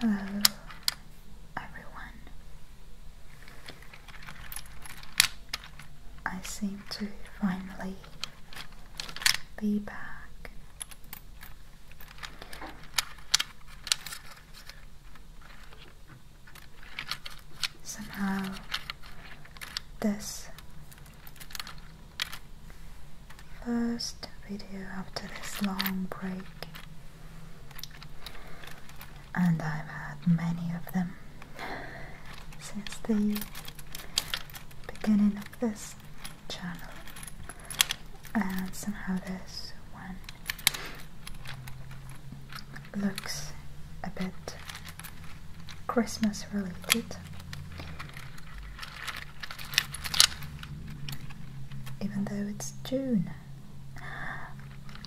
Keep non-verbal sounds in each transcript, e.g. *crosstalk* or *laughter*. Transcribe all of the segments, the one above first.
Hello, everyone. I seem to finally be back somehow this first video after this long break and I've had many of them since the beginning of this channel and somehow this one looks a bit Christmas related, even though it's June.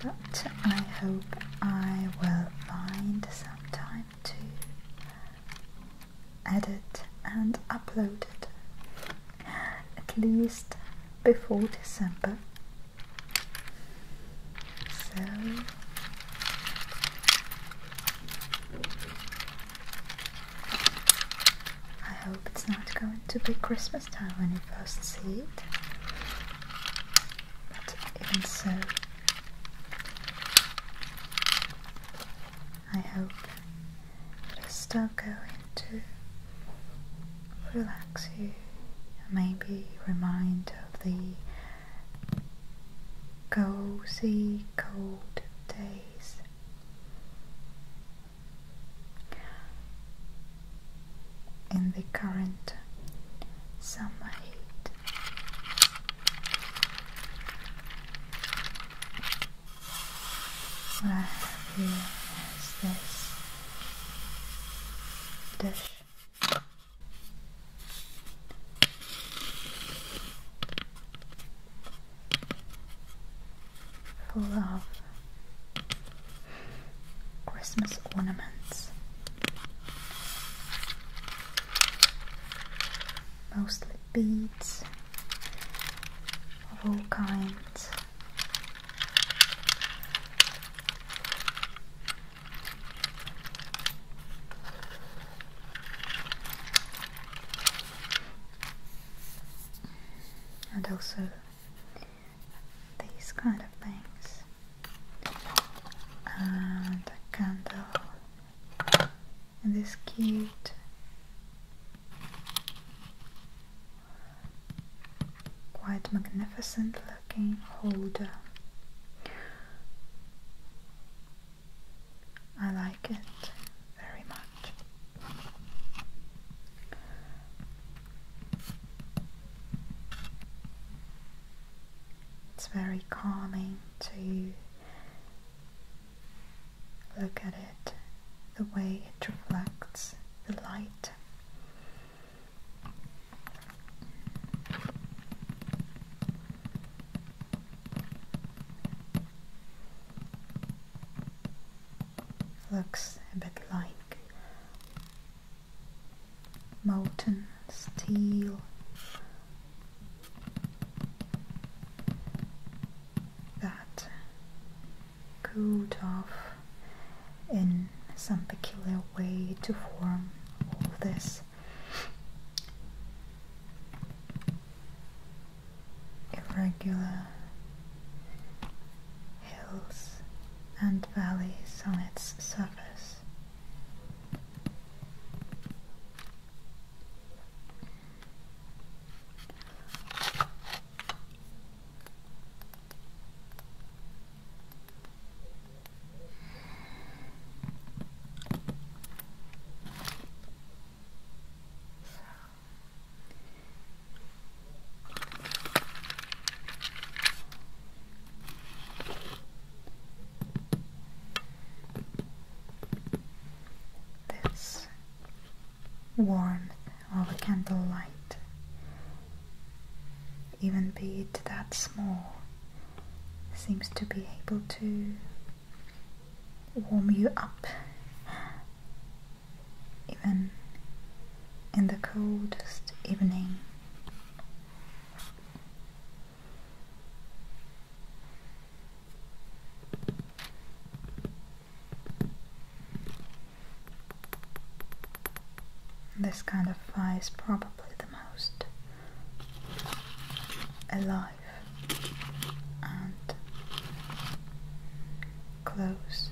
But I hope I will find some time to edit and upload it at least before December so I hope it's not going to be Christmas time when you first see it. But even so, I hope it still start going to relax you and maybe remind of the cozy cold days. In the current summer heat, what I have here is this dish. Full of Christmas ornaments, mostly beads of all kinds. And also these kind of things. And a candle. And this cute quite magnificent looking holder. I like it very much. It's very calming to look at it, the way it reflects the light. Looks a bit like molten steel. That cooled off in some peculiar way to form all this irregular hills and valleys on its surface. This warmth of a candlelight even be it that small, seems to be able to warm you up even in the coldest evening. This kind of fire is probably the most alive and close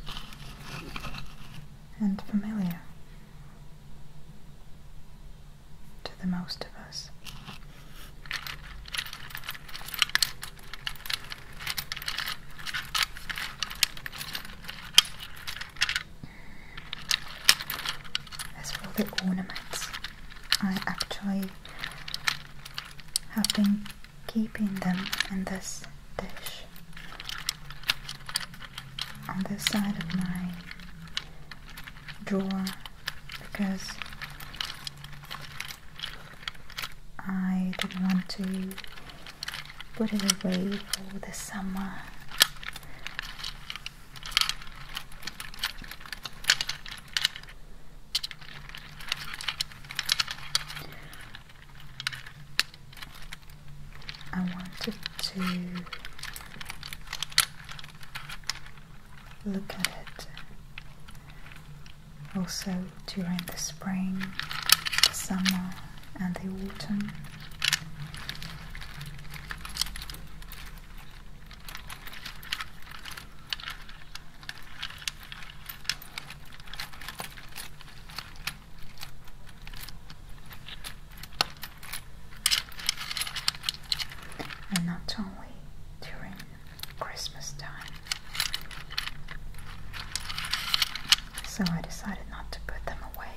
and familiar to the most of us. As for the ornaments, I actually have been keeping them in this dish on this side of my drawer because I didn't want to put it away for the summer. I wanted to look at it also during the spring, the summer and the autumn. And not only during Christmas time so I decided not to put them away.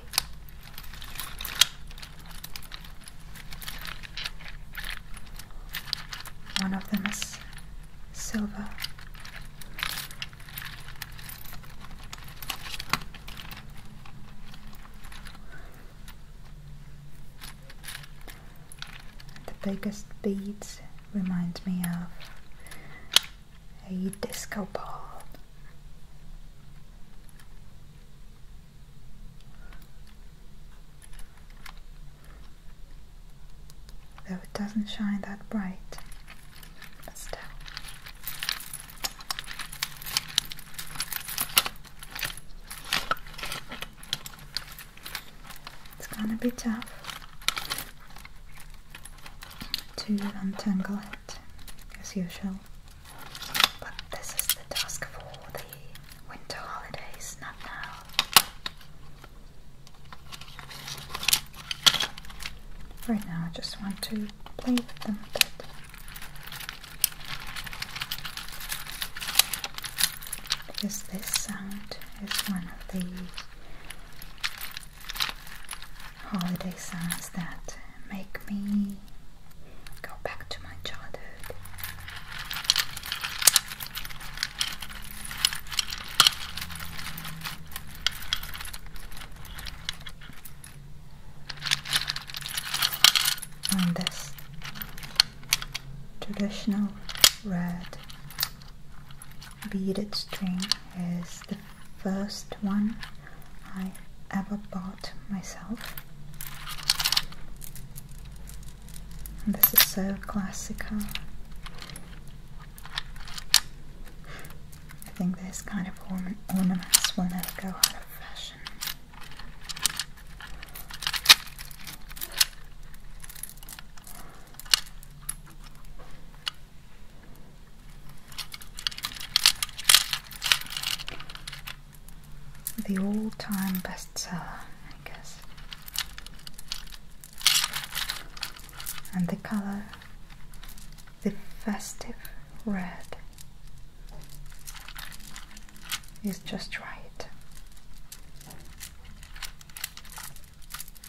One of them is silver. The biggest beads remind me of a disco ball. Though it doesn't shine that bright, still. It's gonna be tough to untangle it as usual. But this is the task for the winter holidays, not now. Right now, I just want to play with them a bit. Because this sound is one of the holiday songs that make me go back to my childhood. On this traditional red beaded string is the first one I ever bought myself. And this is so classical. I think this kind of orna ornaments will never go out of fashion. The all time bestseller, I guess. And the color, the festive red, is just right.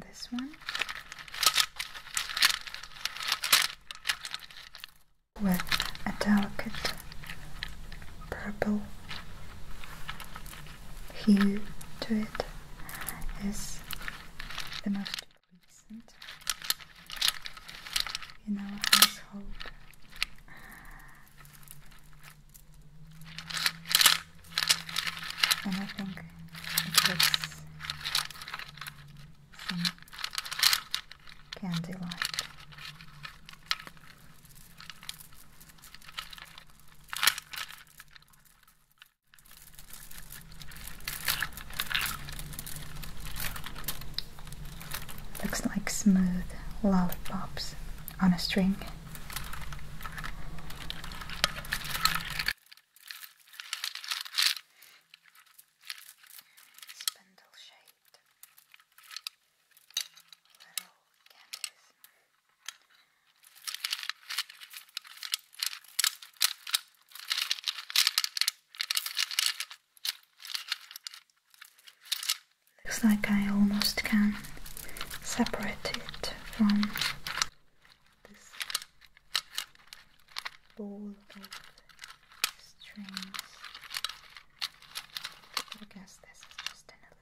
this one. With a delicate purple here to it is the most recent in our household. And I think it looks candy like. Looks like smooth lollipops on a string. Looks like I almost can separate it from this ball of strings. I guess this is just another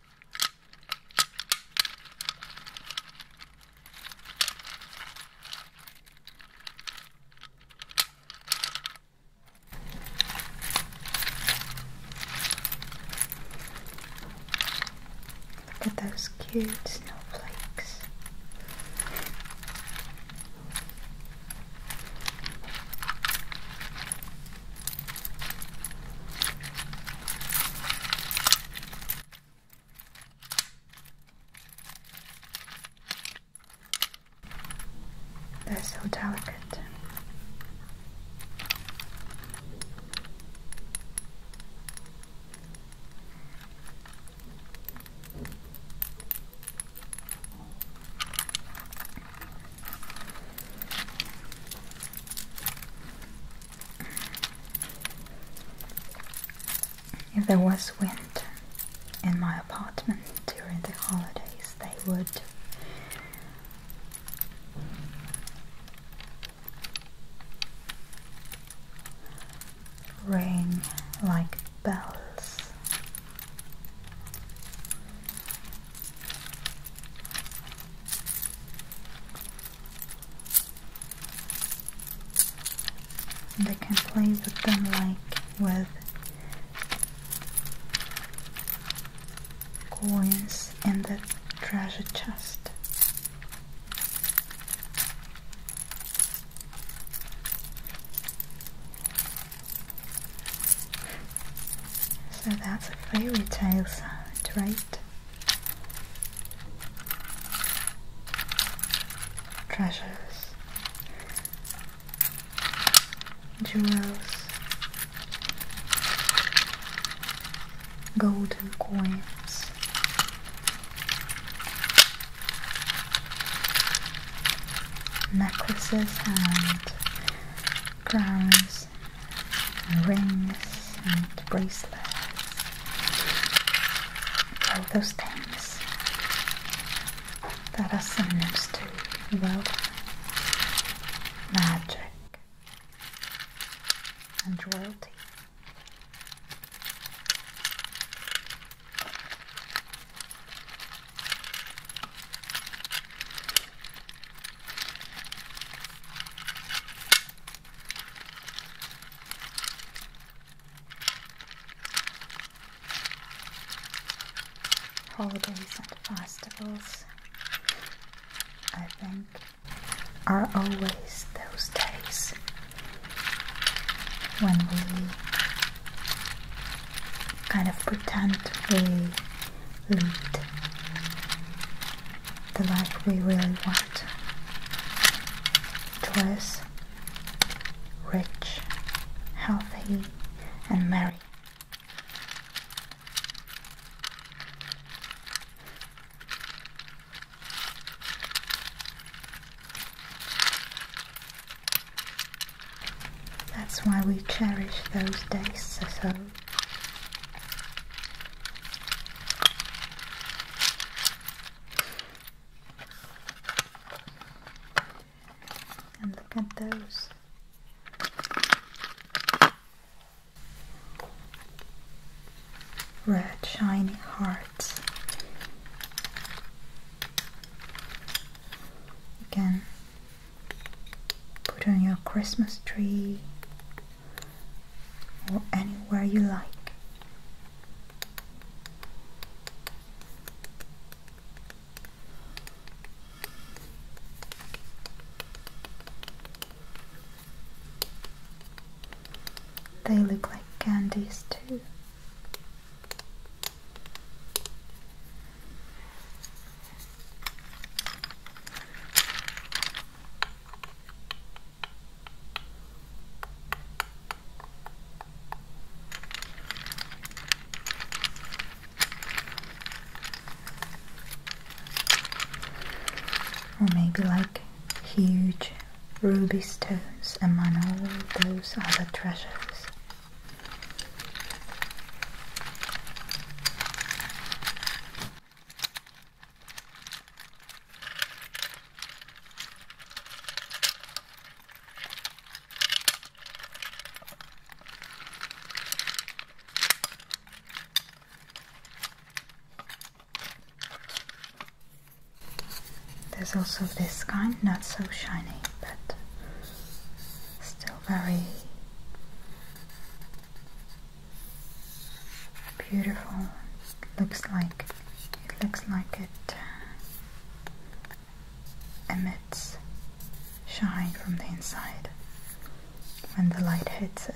Look at those cute snowflakes. They're so delicate. If there was wind in my apartment during the holidays, they would ring like bells. And I can play with them like with coins in the treasure chest. So that's a fairy tale sound, right? treasures, jewels, golden coins. Necklaces and crowns rings and bracelets, all those things that are synonyms to wealth, magic, and royalty. Holidays and festivals, I think, are always those days when we kind of pretend we lead the life we really want. Joyous, rich, healthy, and merry. That's why we cherish those days so and look at those. Red shiny hearts. You can put on your Christmas tree or anywhere you like. They look like candies too. Or maybe like huge ruby stones among all those other treasures. There's also this kind, not so shiny, but still very Beautiful. Looks like it looks like it uh, emits shine from the inside when the light hits it.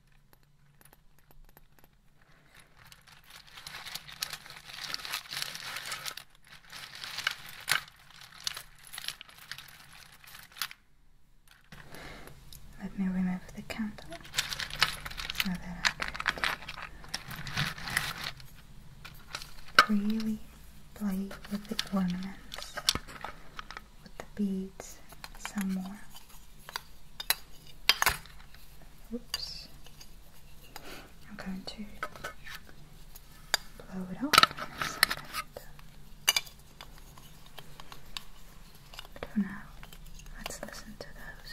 Let me remove the candle so that I could really play with the ornaments with the beads some more. Oops. I'm going to blow it off in a let's listen to those.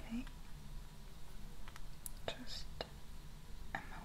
Okay. Just a moment.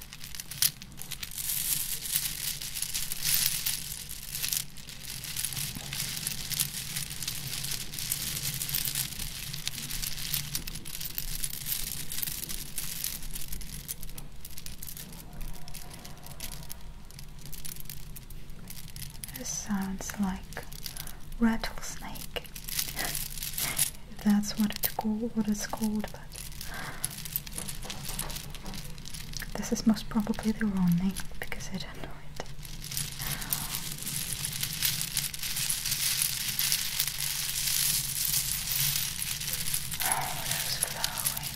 This sounds like rattlesnake. *laughs* That's What it's called, but this is most probably the wrong name because I don't know it. Oh, flowing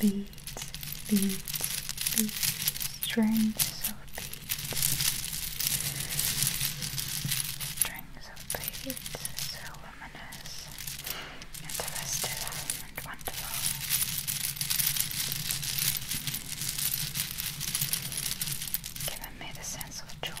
beads. Beads, beads, strings of beads. Strings so pretty, so luminous, and and wonderful. Giving me the sense of joy.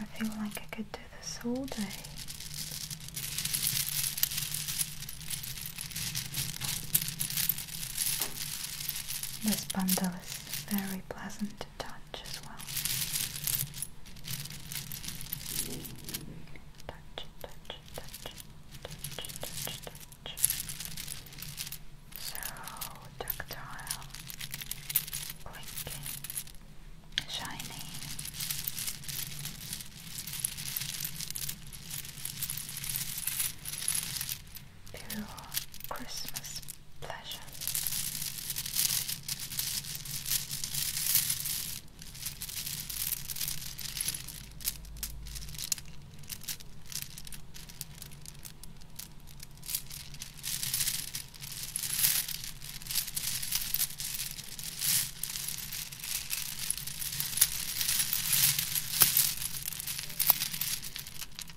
I feel like I could do this all day. This bundle is very pleasant to touch as well. Touch, touch, touch, touch, touch, touch. So tactile, blinking, shiny pure Christmas pleasure.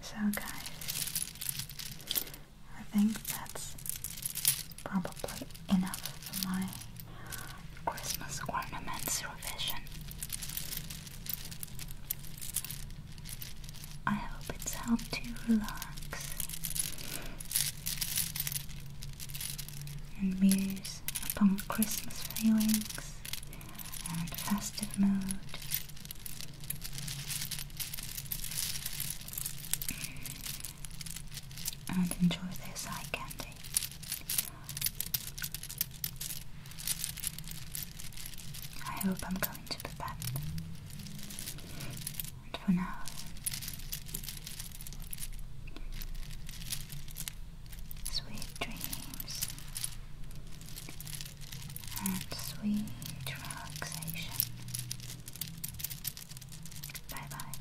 So, guys, I think that's probably enough for my Christmas ornaments revision. I hope it's helped you relax and muse upon Christmas feelings and festive mood. And enjoy this eye candy. I hope I'm going to the bed. And for now, sweet dreams and sweet relaxation. Bye bye.